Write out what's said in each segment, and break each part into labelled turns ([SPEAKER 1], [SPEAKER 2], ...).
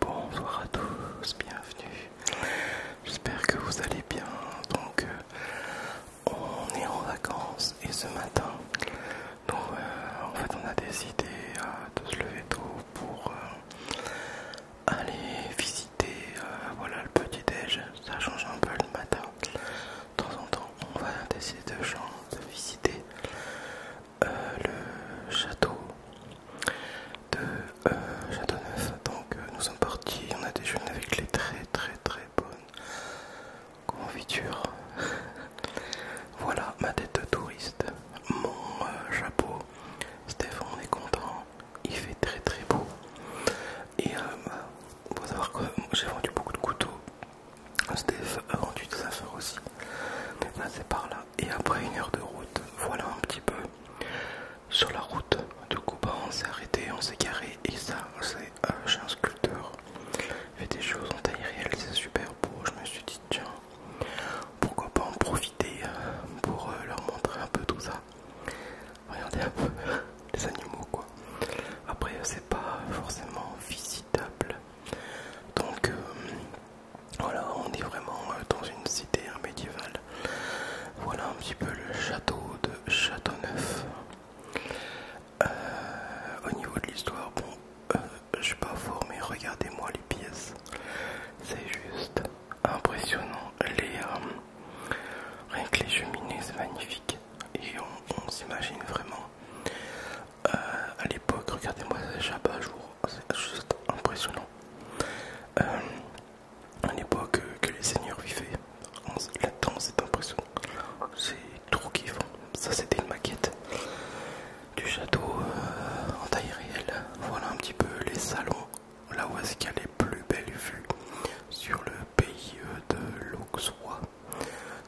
[SPEAKER 1] Bonsoir à tous, bienvenue. J'espère que vous allez bien. Donc, euh, on est en vacances et ce matin, euh, en fait, on a décidé euh, de se lever tôt pour aller visiter, voilà, le petit déj. Ça change un peu le matin de temps en temps on va essayer de, visiter euh, le château de euh, château Châteauneuf. Donc euh, nous sommes partis, on a déjeuné avec les très très très bonnes confitures. voilà ma tête de touriste, mon chapeau. Stéphane, on est content, il fait très très beau. Et pour savoir que j'ai vendu beaucoup de couteaux. a euh, vendu des affaires aussi. mais passé par là. Et après une heure de route, voilà un petit peu sur la route. de coup bah, on s'est arrêté, on s'est garé et ça c'est euh, un sculpteur. Il fait des choses en taille réelle, c'est super beau. Je me suis dit tiens, pourquoi pas en profiter euh, pour leur montrer un peu tout ça. Regardez un peu les animaux quoi. Après c'est pas forcément visitable. Donc euh, voilà, on est vraiment euh, dans une cité hein, médiévale. Voilà un petit peu le château de Châteauneuf. Euh, au niveau de l'histoire, bon, je suis pas fort, mais regardez-moi les pièces. C'est juste impressionnant. Les, Rien que les cheminées, c'est magnifique. Et on, s'imagine vraiment. Euh, à l'époque, regardez-moi ce à jour, c'est juste impressionnant. Euh, à l'époque que les seigneurs vivaient, là-dedans c'est impressionnant. C'est trop kiffant. Ça, c'était une maquette du château euh, en taille réelle. Voilà un petit peu les salons là où est-ce a les plus belles vues sur le pays euh, de l'Auxois.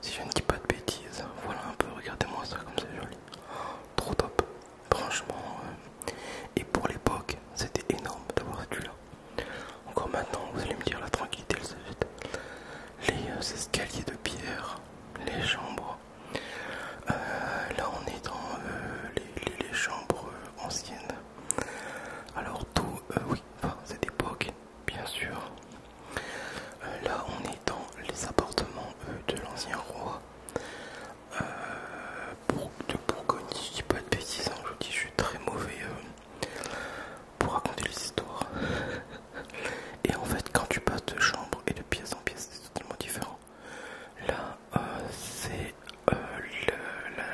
[SPEAKER 1] Si je ne dis pas de bêtises, voilà un peu, regardez-moi ça comme c'est joli. Trop top, franchement. Euh, et pour l'époque, c'était énorme d'avoir été là Encore maintenant, vous allez me dire la tranquillité, le Les euh, escaliers de pierre, les chambres. là, on est dans les chambres anciennes alors tout, euh, oui, enfin, c'est bien sûr. Euh, là, on est dans les appartements euh, de l'ancien roi pour, de Bourgogne. je dis pas de bêtises, hein, je dis, je suis très mauvais pour raconter les histoires. Et en fait, quand tu passes de chambre et de pièce en pièce, c'est totalement différent. Là, euh, c'est euh,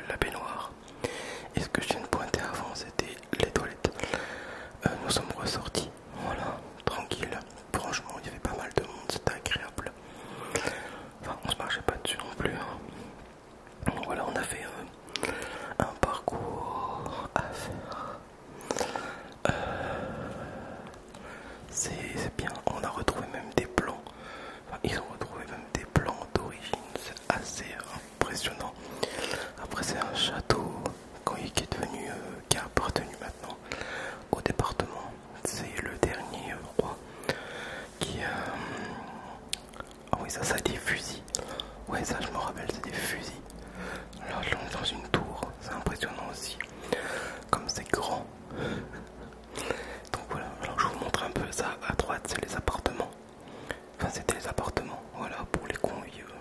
[SPEAKER 1] la, baignoire. Et ce que je viens de pointer avant, c'était les toilettes. Euh, nous sommes ressortis, voilà, tranquille. Franchement, il y avait pas mal de monde, c'était agréable. Enfin, on se marchait pas dessus non plus. Hein. Voilà, on a fait un parcours à faire. c'est bien, on a retrouvé même des plans ils ont retrouvé même des plans d'origine, c'est assez impressionnant. Après, c'est un château qui est devenu, euh, qui appartenu maintenant au département. C'est le dernier roi qui. Euh, ah oui, ça, ça des fusils. Oui, ça, je me rappelle, c'est des fusils. Là, on dans une tour, c'est impressionnant aussi. Comme c'est grand, donc voilà, alors je vous montre un peu ça à droite, c'est les appartements. Enfin, c'était les appartements, voilà, pour les convives.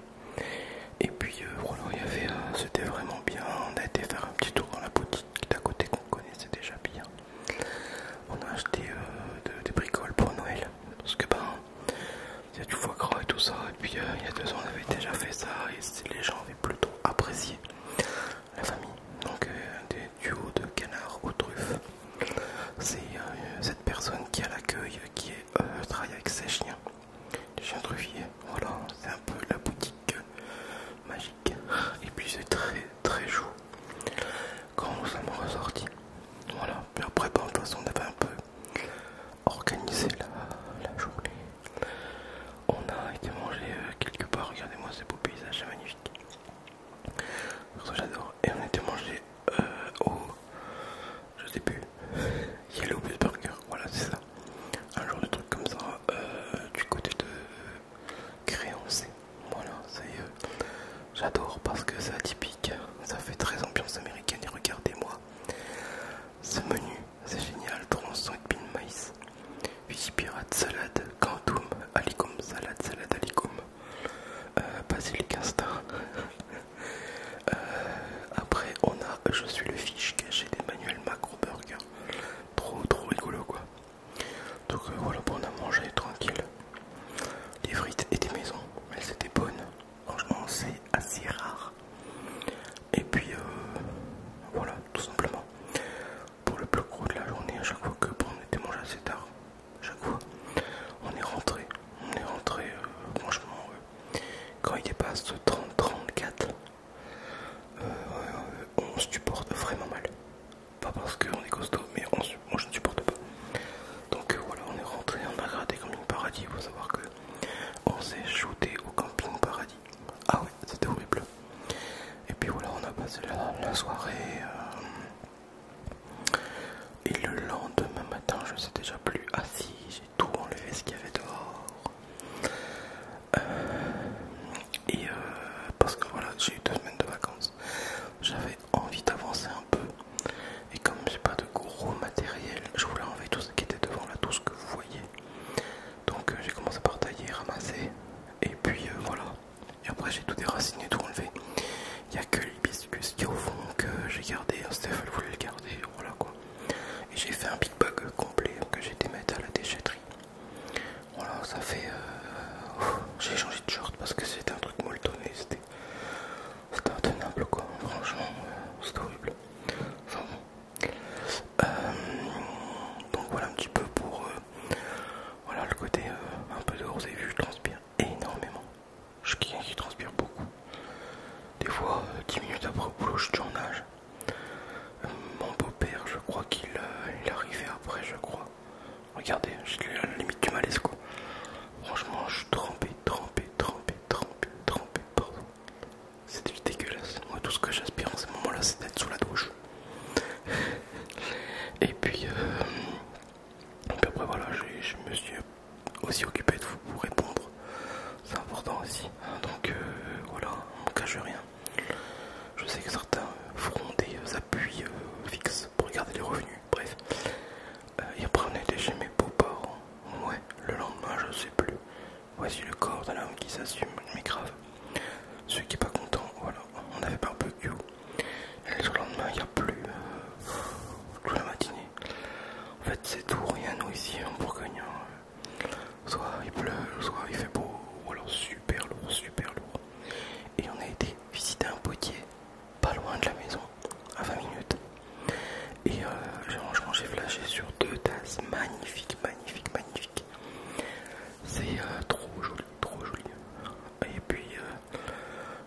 [SPEAKER 1] Et puis euh, voilà, il y avait, euh, c'était vraiment bien. On a été faire un petit tour dans la boutique d'à côté qu'on connaissait déjà bien. On a acheté euh, des bricoles pour Noël parce que ben il y a du foie gras et tout ça. Et puis il y a deux ans, on avait déjà fait ça et les gens avaient plutôt apprécié la famille. Donc euh, des duos de canards aux truffes. C'est euh, cette personne qui a l'accueil qui est, euh, travaille avec ses chiens. Des chiens truffiers. Voilà, c'est un peu la boutique magique. Et puis c'est très très chaud quand nous sommes ressortis. Voilà, puis après, ben, de toute façon, on avait un peu organisé la journée. On a été mangé euh, quelque part, regardez-moi ce beau paysage magnifique. J'adore. Et on a été mangé euh, au. Je sais plus. Yellow Bus Burger, voilà, c'est ça. Un genre de truc comme ça euh, du côté de Créancé. Voilà, c'est. J'adore parce que c'est atypique. Ça fait très ambiance américaine. Et regardez-moi ce menu c'est génial, tronçon et pin maïs, huit pirate, salade, quantum, alicum, salade, salade, alicum, euh, basilic insta. Euh, après, on a Je suis le fiche caché d'Emmanuel Macro Burger, trop trop rigolo quoi. Donc euh, voilà, on a mangé tranquille Les frites étaient maison, maisons, elles étaient bonnes. Franchement, c'est assez rare et puis euh, voilà, tout simplement. Pour le plus gros de la journée, à chaque fois que bon, on était mangé assez tard, chaque fois, on est rentré. On est rentré, euh, franchement, euh, quand il dépasse 30-34, on on supporte vraiment mal. Pas parce qu'on est costaud, mais on, je ne supporte pas. Donc voilà, on est rentré, on a regardé Camping Paradis. Il faut savoir que on s'est shooté au Camping Paradis. Ah oui, c'était horrible. Et puis voilà, on a passé la, soirée. Euh, et le lendemain matin, je ne sais déjà plus. assis, ah j'ai tout enlevé ce qu'il y avait dehors. Euh, et euh, parce que voilà, j'ai eu deux semaines de vacances. J'avais envie d'avancer un peu. Et comme j'ai pas de gros matériel, je voulais enlever tout ce qui était devant là, tout ce que vous donc euh, j'ai commencé par tailler, ramasser, et puis euh, voilà. Et après j'ai tout déraciné, tout enlevé. Il n'y a que l'hibiscus qui est au fond que j'ai gardé, hein, Steph voulait le garder, voilà quoi. Et j'ai fait un big bug complet que j'ai été mettre à la déchetterie. Voilà, ça fait... Euh, oh, j'ai changé de short parce que c'était un truc molletonné, c'était c'est intenable quoi, franchement, euh, c'est horrible. bon. Euh, donc voilà un petit peu pour euh, voilà le côté un peu dehors, vous avez vu, je transpire énormément. Je suis quelqu'un qui transpire beaucoup. Des fois, 10 minutes après le boulot, je tourne en nage. mon beau-père, je crois qu'il arrivait après, je crois. Regardez, à la limite du malaise quoi. Franchement, je suis trempé, trempé, trempé, trempé, trempé, pardon. c'est dégueulasse. Moi, tout ce que j'aspire en ce moment-là, c'est d'être sous la douche. Et puis, euh, après, voilà, je me suis aussi occupé de vous répondre. C'est important aussi. Donc, euh, voilà, on ne cache rien. Je sais que certains feront des appuis euh, fixes pour garder les revenus. Bref, y euh, il prenait déjà chez mes beaux-parents. Ouais, le lendemain, je sais plus. Voici le corps de l'homme qui s'assume, mais grave. Celui qui est pas content, voilà, on avait barbecue. Et le lendemain, il n'y a plus. Euh, la matinée. En fait, c'est tout, rien, nous ici en Bourgogne. Soit il pleut, soit il fait beau, ou alors super lourd, super lourd. Et on a été visiter un potier pas loin de la maison, à 20 minutes. Et franchement, euh, j'ai flashé sur deux tasses magnifiques, magnifiques, magnifiques. C'est euh, trop joli, trop joli. Et puis, euh,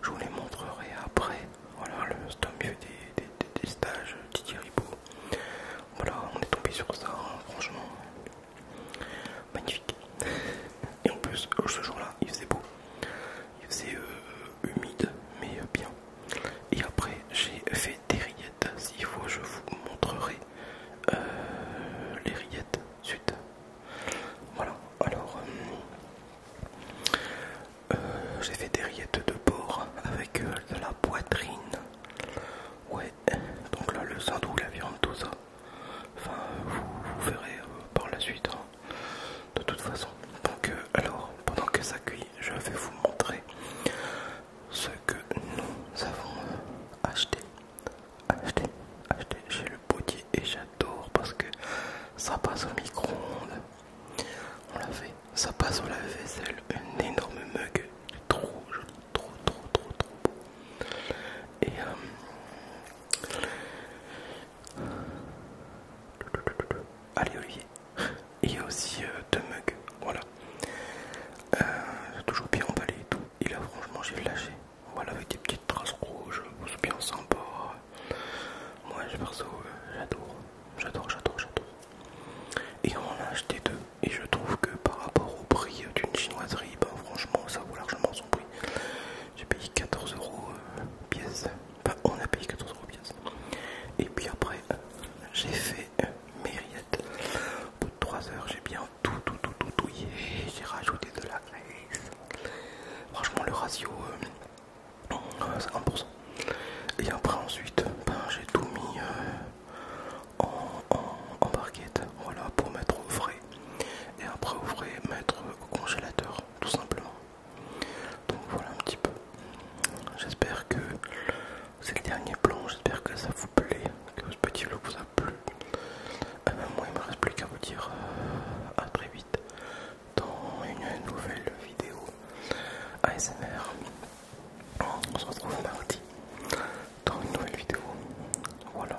[SPEAKER 1] je vous les montrerai après. Voilà, le un des, des, des stages Didier Ribot. Voilà, on est tombé sur ça, hein, franchement. Magnifique. Et en plus, ce jour-là, il faisait beau. Il faisait humide mais bien. Et après j'ai fait des rillettes. S'il faut je vous montrerai euh, les rillettes suite. Voilà, alors euh, euh, j'ai fait des rillettes de porc avec de la poitrine. Ouais, donc là le sandou, la viande, tout ça. Enfin, vous, verrez par la suite. Hein de toute façon. Donc, alors, pendant que ça cuit, je vais vous montrer ce que nous avons euh, acheté. Acheté, acheté chez le potier et j'adore parce que ça passe au micro-ondes. On l'a fait, ça passe au lave-vaisselle, une énorme mug, trop, trop, trop, trop, trop beau. Et, euh, Allez Olivier. il y a aussi deux mugs, voilà. Euh, toujours bien emballé et tout. Et là franchement j'ai lâché. Voilà avec des petites traces rouges, c'est bien sympa. Moi je perso euh, j'adore, j'adore, j'adore, j'adore. Et on en a acheté deux. Et je trouve que par rapport au prix d'une chinoiserie, ben franchement ça vaut largement son prix j'ai payé 14 euros euh, pièce. Enfin, on a payé 14 euros pièce. Et puis après, j'ai fait euh, Mériette. Au bout de 3 heures, j'ai bien tout, tout, tout, tout, touillé. J'ai rajouté de la graisse. Franchement, le ratio, 1%. Euh, Et après, ensuite, ben, j'ai tout mis en, en barquette. Voilà, pour mettre au frais et après vous pouvez mettre au congélateur tout simplement. Donc voilà un petit peu. J'espère que c'est le dernier plan, j'espère que ça vous plaît, que ce petit vlog vous a plu. Euh, moi il me reste plus qu'à vous dire euh, à très vite dans une nouvelle vidéo ASMR. On se retrouve mardi dans une nouvelle vidéo. Voilà.